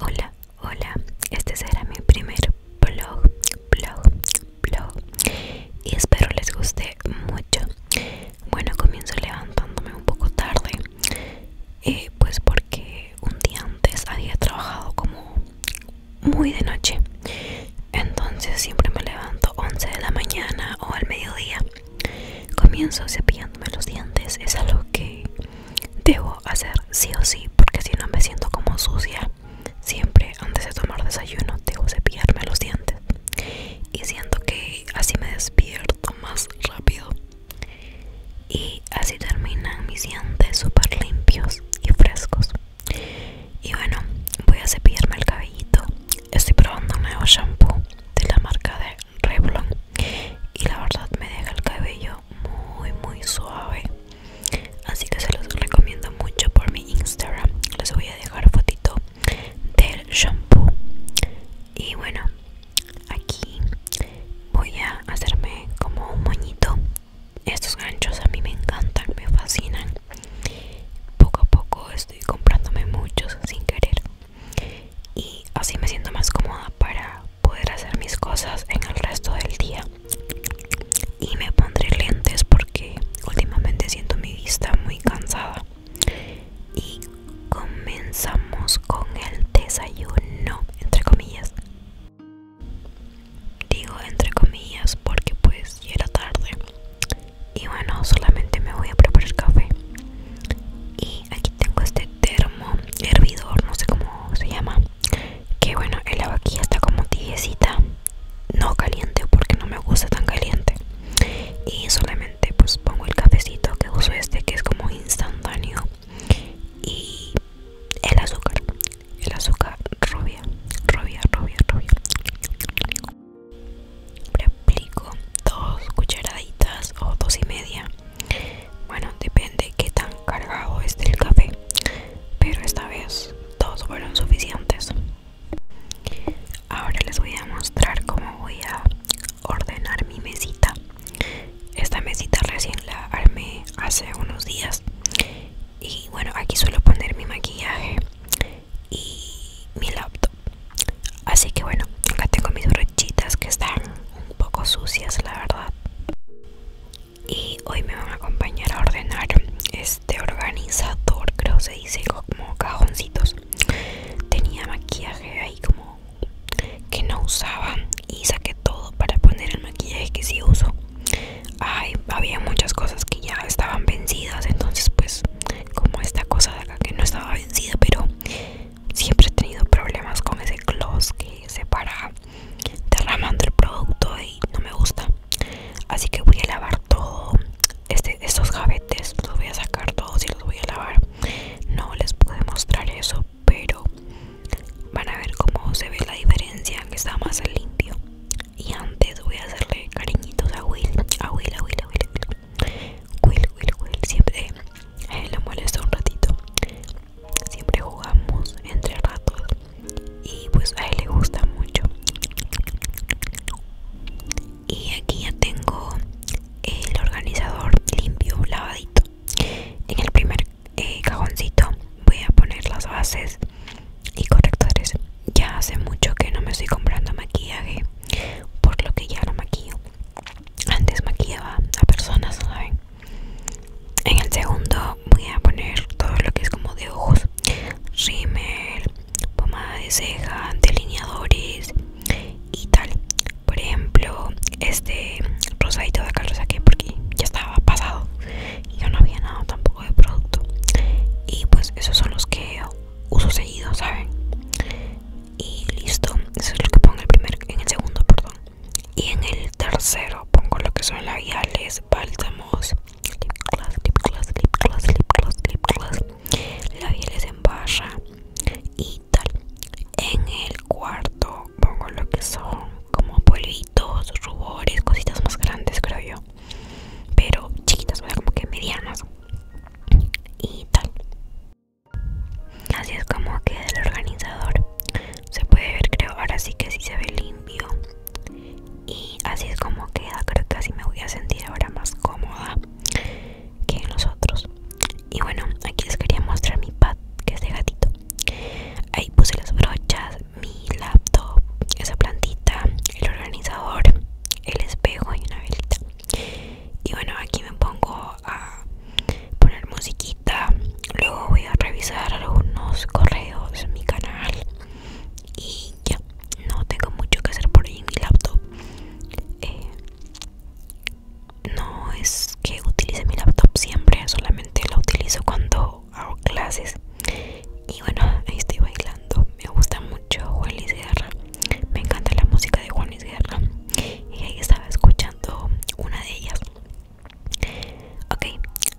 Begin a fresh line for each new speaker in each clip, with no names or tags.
Hola, hola, este será mi primer vlog blog, vlog. y espero les guste mucho. Bueno, comienzo levantándome un poco tarde, eh, pues porque un día antes había trabajado como muy de noche, entonces siempre me levanto 11 de la mañana o al mediodía. Comienzo cepillándome los dientes, es algo que Debo hacer sí o sí, porque si no me siento como sucia. Siempre antes de tomar desayuno debo cepillarme los dientes. Y siento que así me despierto más rápido. Y así terminan mis dientes super limpios y frescos. Y bueno, voy a cepillarme el cabellito. Estoy probando un nuevo shampoo de la marca de Revlon y la verdad me deja el cabello muy muy suave así que se los recomiendo mucho por mi Instagram les voy a dejar fotito del shampoo y bueno aquí voy a hacerme como un moñito estos ganchos a mí me encantan me fascinan poco a poco estoy comprándome muchos sin querer y así me siento más cómoda para poder hacer mis cosas en el resto del día y me pondré lentes porque últimamente siento mi vista muy cansada y comenzamos con el desayuno entre comillas digo entre comillas porque pues ya era tarde y bueno solamente me voy a preparar café y aquí tengo este termo hervidor no sé cómo se llama que bueno el agua aquí está como tibiecita no caliente porque no me gusta tan caliente y solamente pues pongo el cafecito que uso este que es como instantáneo y el azúcar el azúcar rubia rubia rubia rubia le aplico dos cucharaditas o dos y media bueno, depende qué tan cargado esté el café, pero esta vez dos fueron suficientes. Ahora les voy a mostrar cómo voy a ordenar mi mesita. Esta mesita recién la armé hace unos días. Y bueno, aquí suelo poner mi maquillaje y mi laptop así que bueno acá tengo mis brochitas que están un poco sucias la verdad y hoy me van a acompañar a ordenar este organizador creo se dice como cajoncitos tenía maquillaje ahí como que no usaba y saqué todo para poner el maquillaje que sí uso Ay, había muchas cosas que ya estaban vencidas entonces pues como esta cosa de acá que no estaba vencida pero siempre he tenido problemas con ese gloss que se para derramando el producto y no me gusta así que voy a lavar todo este, estos jabetes los voy a sacar todos y los voy a lavar no les puedo mostrar eso pero van a ver cómo se ve la diferencia que está más limpio y antes voy a hacerle cariñitos a Will. Will, Will, Will, siempre eh, le molesta un ratito. Siempre jugamos entre ratos y pues a él le gusta mucho. Y aquí ya tengo el organizador limpio, lavadito. En el primer eh, cajoncito voy a poner las bases y correctores. Ya hace mucho que no me estoy comprando maquillaje, por lo que ya no maquillo antes maquillaba a personas, ¿saben? En el segundo voy a poner todo lo que es como de ojos, rímel, pomada de ceja, delineadores y tal. Por ejemplo, este rosadito de acá lo saqué porque ya estaba pasado y yo no había nada tampoco de producto. Y pues esos son los que uso seguido, ¿saben? y listo eso es lo que pongo en el primer en el segundo perdón y en el tercero pongo lo que son labiales bálsamos lip gloss clip gloss lip lip labiales en barra y tal en el cuarto pongo lo que son como polvitos rubores cositas más grandes creo yo pero chiquitas como que medianas y tal Así es como queda el organizador. Se puede ver, creo, ahora sí que sí se ve limpio. Y así es como queda. Ah, creo que así me voy a sentir ahora más cómoda que en los otros. Y bueno, aquí les quería mostrar mi pad, que es de gatito. Ahí puse las brochas, mi laptop, esa plantita, el organizador, el espejo y una velita y bueno aquí me pongo a poner musiquita luego voy a revisar algunos correos en mi canal y ya no tengo mucho que hacer por ahí en mi laptop eh, no es que utilice mi laptop siempre solamente la utilizo cuando hago clases y bueno ahí estoy bailando me gusta mucho el me encanta la música de Juanes Guerra y ahí estaba escuchando una de ellas ok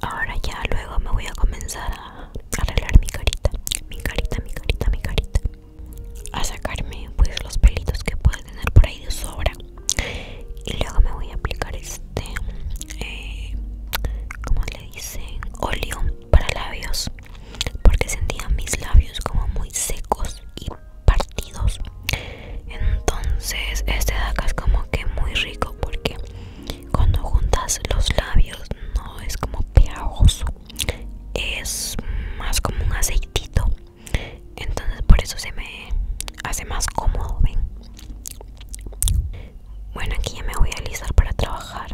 ahora ya luego me voy a comenzar a arreglar mi carita mi carita mi carita mi carita a sacarme pues los pelitos que pueda tener por ahí de sobra y luego me voy a aplicar este eh, como le dicen óleo para labios porque sentía mis labios como muy secos y partidos entonces este daca es como que muy rico porque cuando juntas los labios no es como pegajoso es más como un aceitito entonces por eso se me hace más cómodo ven bueno aquí ya me voy a alisar para trabajar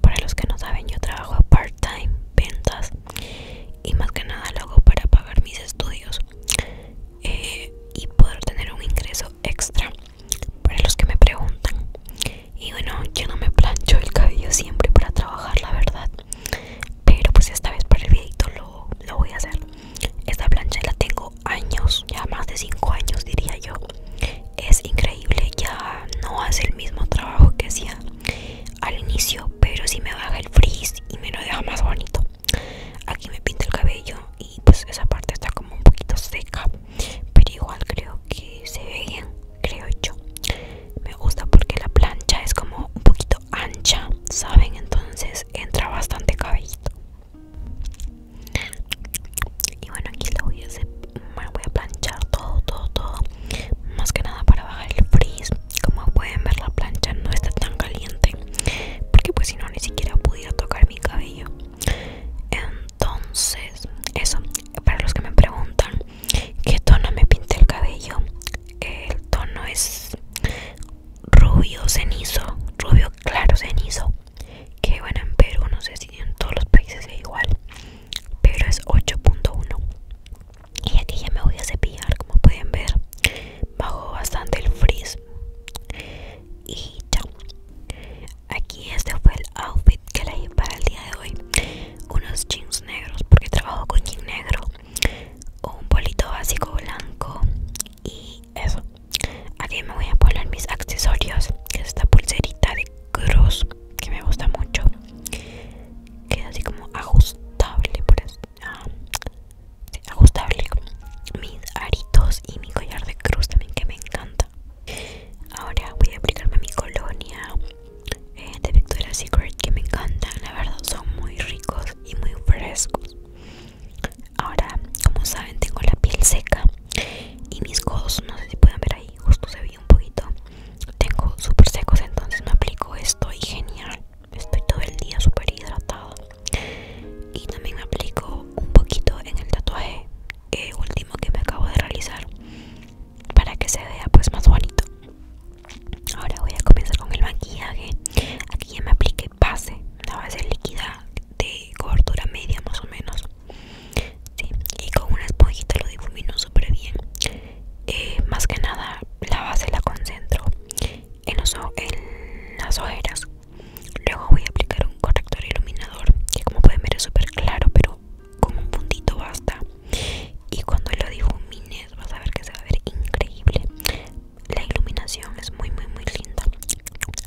para los que no saben yo trabajo aparte time ventas y más que nada lo hago para pagar mis estudios eh, y poder tener un ingreso extra para los que me preguntan. Y bueno, yo no me plancho el cabello siempre para trabajar, la verdad. Pero pues esta vez para el videito lo, lo voy a hacer. Esta plancha la tengo años, ya más de 5 años diría yo es increíble, ya no hace el mismo trabajo que hacía al inicio, pero sí me baja el frizz y me lo deja más bonito. Aquí me pinta el cabello y pues esa parte está como un poquito seca, pero igual creo que se ve bien, creo yo. Me gusta porque la plancha es como un poquito ancha, ¿saben? Entonces entra bastante cabellito. Y bueno, aquí lo voy a hacer me voy a planchar todo, todo, todo. Más que nada para bajar el frizz. Como pueden ver, la plancha no está tan caliente. Porque pues si no, ni siquiera pudiera tocar mi cabello. Entonces, eso. Para los que me preguntan qué tono me pinté el cabello, el tono es rubio cenizo, rubio claro cenizo. Que bueno, en Perú no sé si en todos los países es igual pero es 8.1 y aquí ya me voy a cepillar como pueden ver bajo bastante el frizz y chao aquí este fue el outfit que leí para el día de hoy unos jeans negros porque trabajo con jean negro un bolito básico blanco y eso aquí me voy a poner mis accesorios esta pulserita cruz que me gusta mucho que es así como ajustable por eso ah, ajustable mis aritos y mi collar de cruz también que me encanta ahora voy a aplicarme mi colonia eh, de Victoria's Secret que me encantan la verdad son muy ricos y muy frescos ahora como saben tengo la piel seca y mis codos no sé si pueden ver ahí justo se un poquito. Tengo súper secos, entonces me aplico esto y genial. Estoy todo el día súper hidratado Y también me aplico un poquito en el tatuaje que último que me acabo de realizar para que se vea pues más bonito. Ahora voy a comenzar con el maquillaje. Aquí ya me apliqué base, la base líquida de cobertura media más o menos y con una esponjita lo difumino súper bien. Eh, más que nada, la base la concentro en, en las ojeras. Luego voy a aplicar un corrector iluminador, que como pueden ver es súper claro, pero con un puntito basta. Y cuando lo difumines, vas a ver que se va a ver increíble. La iluminación es muy, muy, muy linda.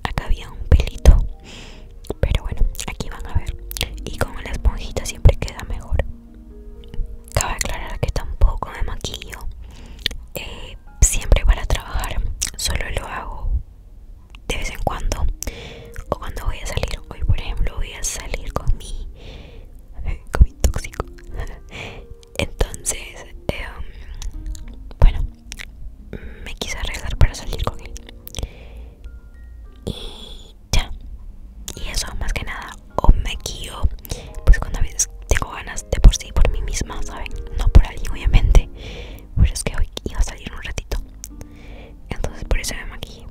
Acá había un pelito pero bueno, aquí van a ver. Y con la esponjita siempre queda mejor. Cabe aclarar que tampoco me maquillo. Eh, siempre para trabajar. Solo lo hago de vez en cuando. O cuando voy a salir. Hoy por ejemplo voy a salir con mi... Con mi tóxico. Entonces... Em, bueno. Me quise arreglar para salir con él y ya y eso más que nada o me pues cuando a veces tengo ganas de por sí por mí misma saben no por alguien obviamente pues es que hoy iba a salir un ratito entonces por eso me maquillé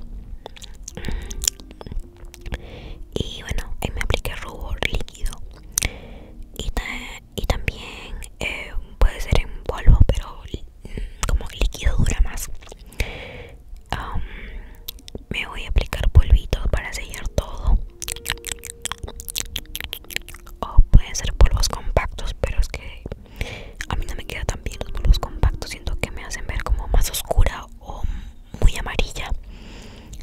y bueno ahí me apliqué rubor líquido y, también eh, puede ser en polvo pero como líquido dura más me voy a aplicar polvitos para sellar todo o pueden ser polvos compactos pero es que a mí no me queda tan bien los polvos compactos siento que me hacen ver como más oscura o muy amarilla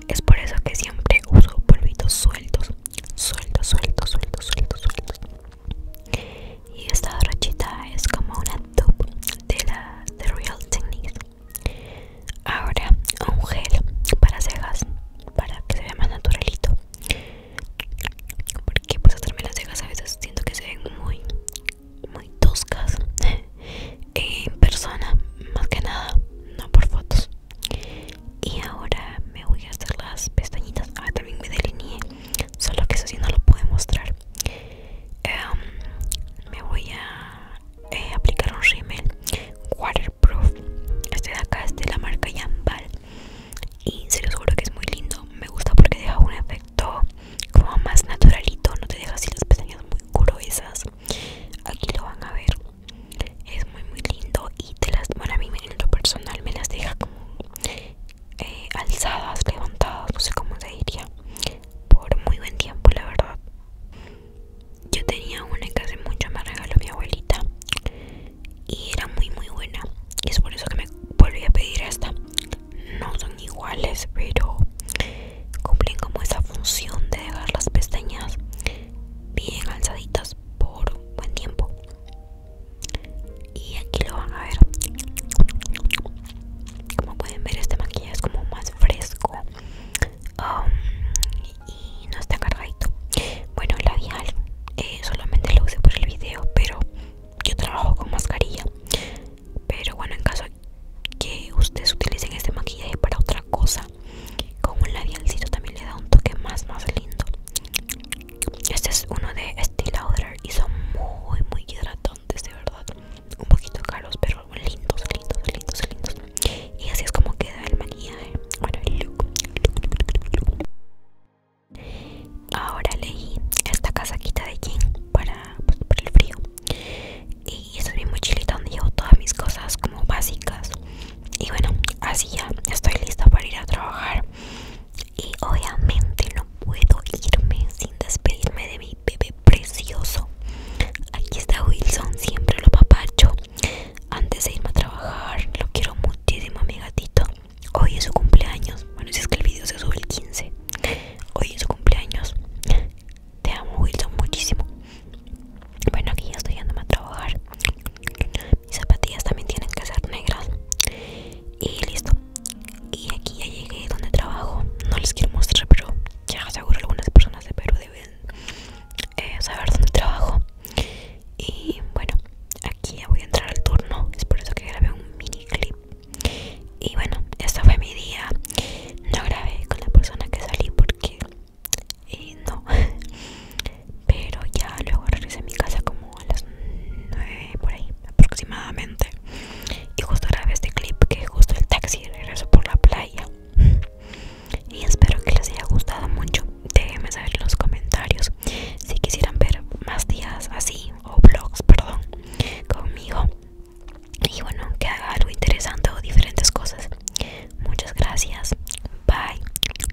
es por eso que siempre uso polvitos sueltos sueltos sueltos sueltos sueltos y esta brochita es como una top de la de Real Techniques ahora un gel para cejas para que se vea más naturalito porque pues hacerme las cejas a veces siento que se ven muy muy toscas en persona más que nada no por fotos y ahora me voy a hacer las pestañitas ah también me delineé solo que eso sí no lo puedo mostrar em, me voy a eh, aplicar un rímel waterproof este de acá es de la marca Yambal y se los juro que es muy lindo me gusta porque deja un efecto como más naturalito no te deja así las pestañas muy gruesas aquí lo van a ver es muy muy lindo y te las bueno a mí en lo personal me las deja como eh, alzadas, levantadas, no sé cómo se diría, por muy buen tiempo, la verdad. Yo tenía una que hace mucho me regaló mi abuelita y era muy, muy buena. Y es por eso que me volví a pedir esta. No son iguales, pero cumplen como esa función de dejar las pestañas bien alzaditas por buen tiempo y aquí lo van a ver como pueden ver este maquillaje es como más fresco um, y no está cargadito bueno el labial eh, solamente lo usé por el video pero yo trabajo con mascarilla pero bueno en caso que ustedes utilicen este maquillaje para otra cosa con un labialcito también le da un toque más más lindo este es uno de Estee Lauder y son muy, muy hidratantes, de verdad. Un poquito caros, pero lindos, lindos, lindos, lindos. Y así es como queda el maquillaje. ¿eh? Bueno, el look. Ahora leí esta casaquita de jean para, pues, para el frío. Y esta es mi mochilita donde llevo todas mis cosas como básicas. Y bueno, así ya estoy lista para ir a trabajar. Y obviamente no puedo irme sin despedirme de mi bebé precioso. Aquí está Wilson, siempre lo papacho. Antes de irme a trabajar, lo quiero muchísimo mi gatito. Hoy es su cumpleaños. Bueno, si es que el video se sube el 15. Hoy es su cumpleaños. Te amo Wilson muchísimo. Bueno, aquí ya estoy yéndome a trabajar mis zapatillas también tienen que ser negras y listo y aquí ya llegué donde trabajo no les quiero mostrar pero ya seguro algunas personas de Perú deben eh, saber dónde trabajo y bueno aquí ya voy a entrar al turno es por eso que grabé un mini clip y bueno este fue mi día no grabé con la persona que salí porque eh, no pero ya luego regresé a mi casa como a las 9 por ahí aproximadamente y justo grabé este clip que justo el taxi regresó por la playa y espero que les haya gustado mucho déjenme saber en los comentarios si quisieran ver más días así o vlogs perdón conmigo y bueno que haga algo interesante o diferentes cosas muchas gracias bye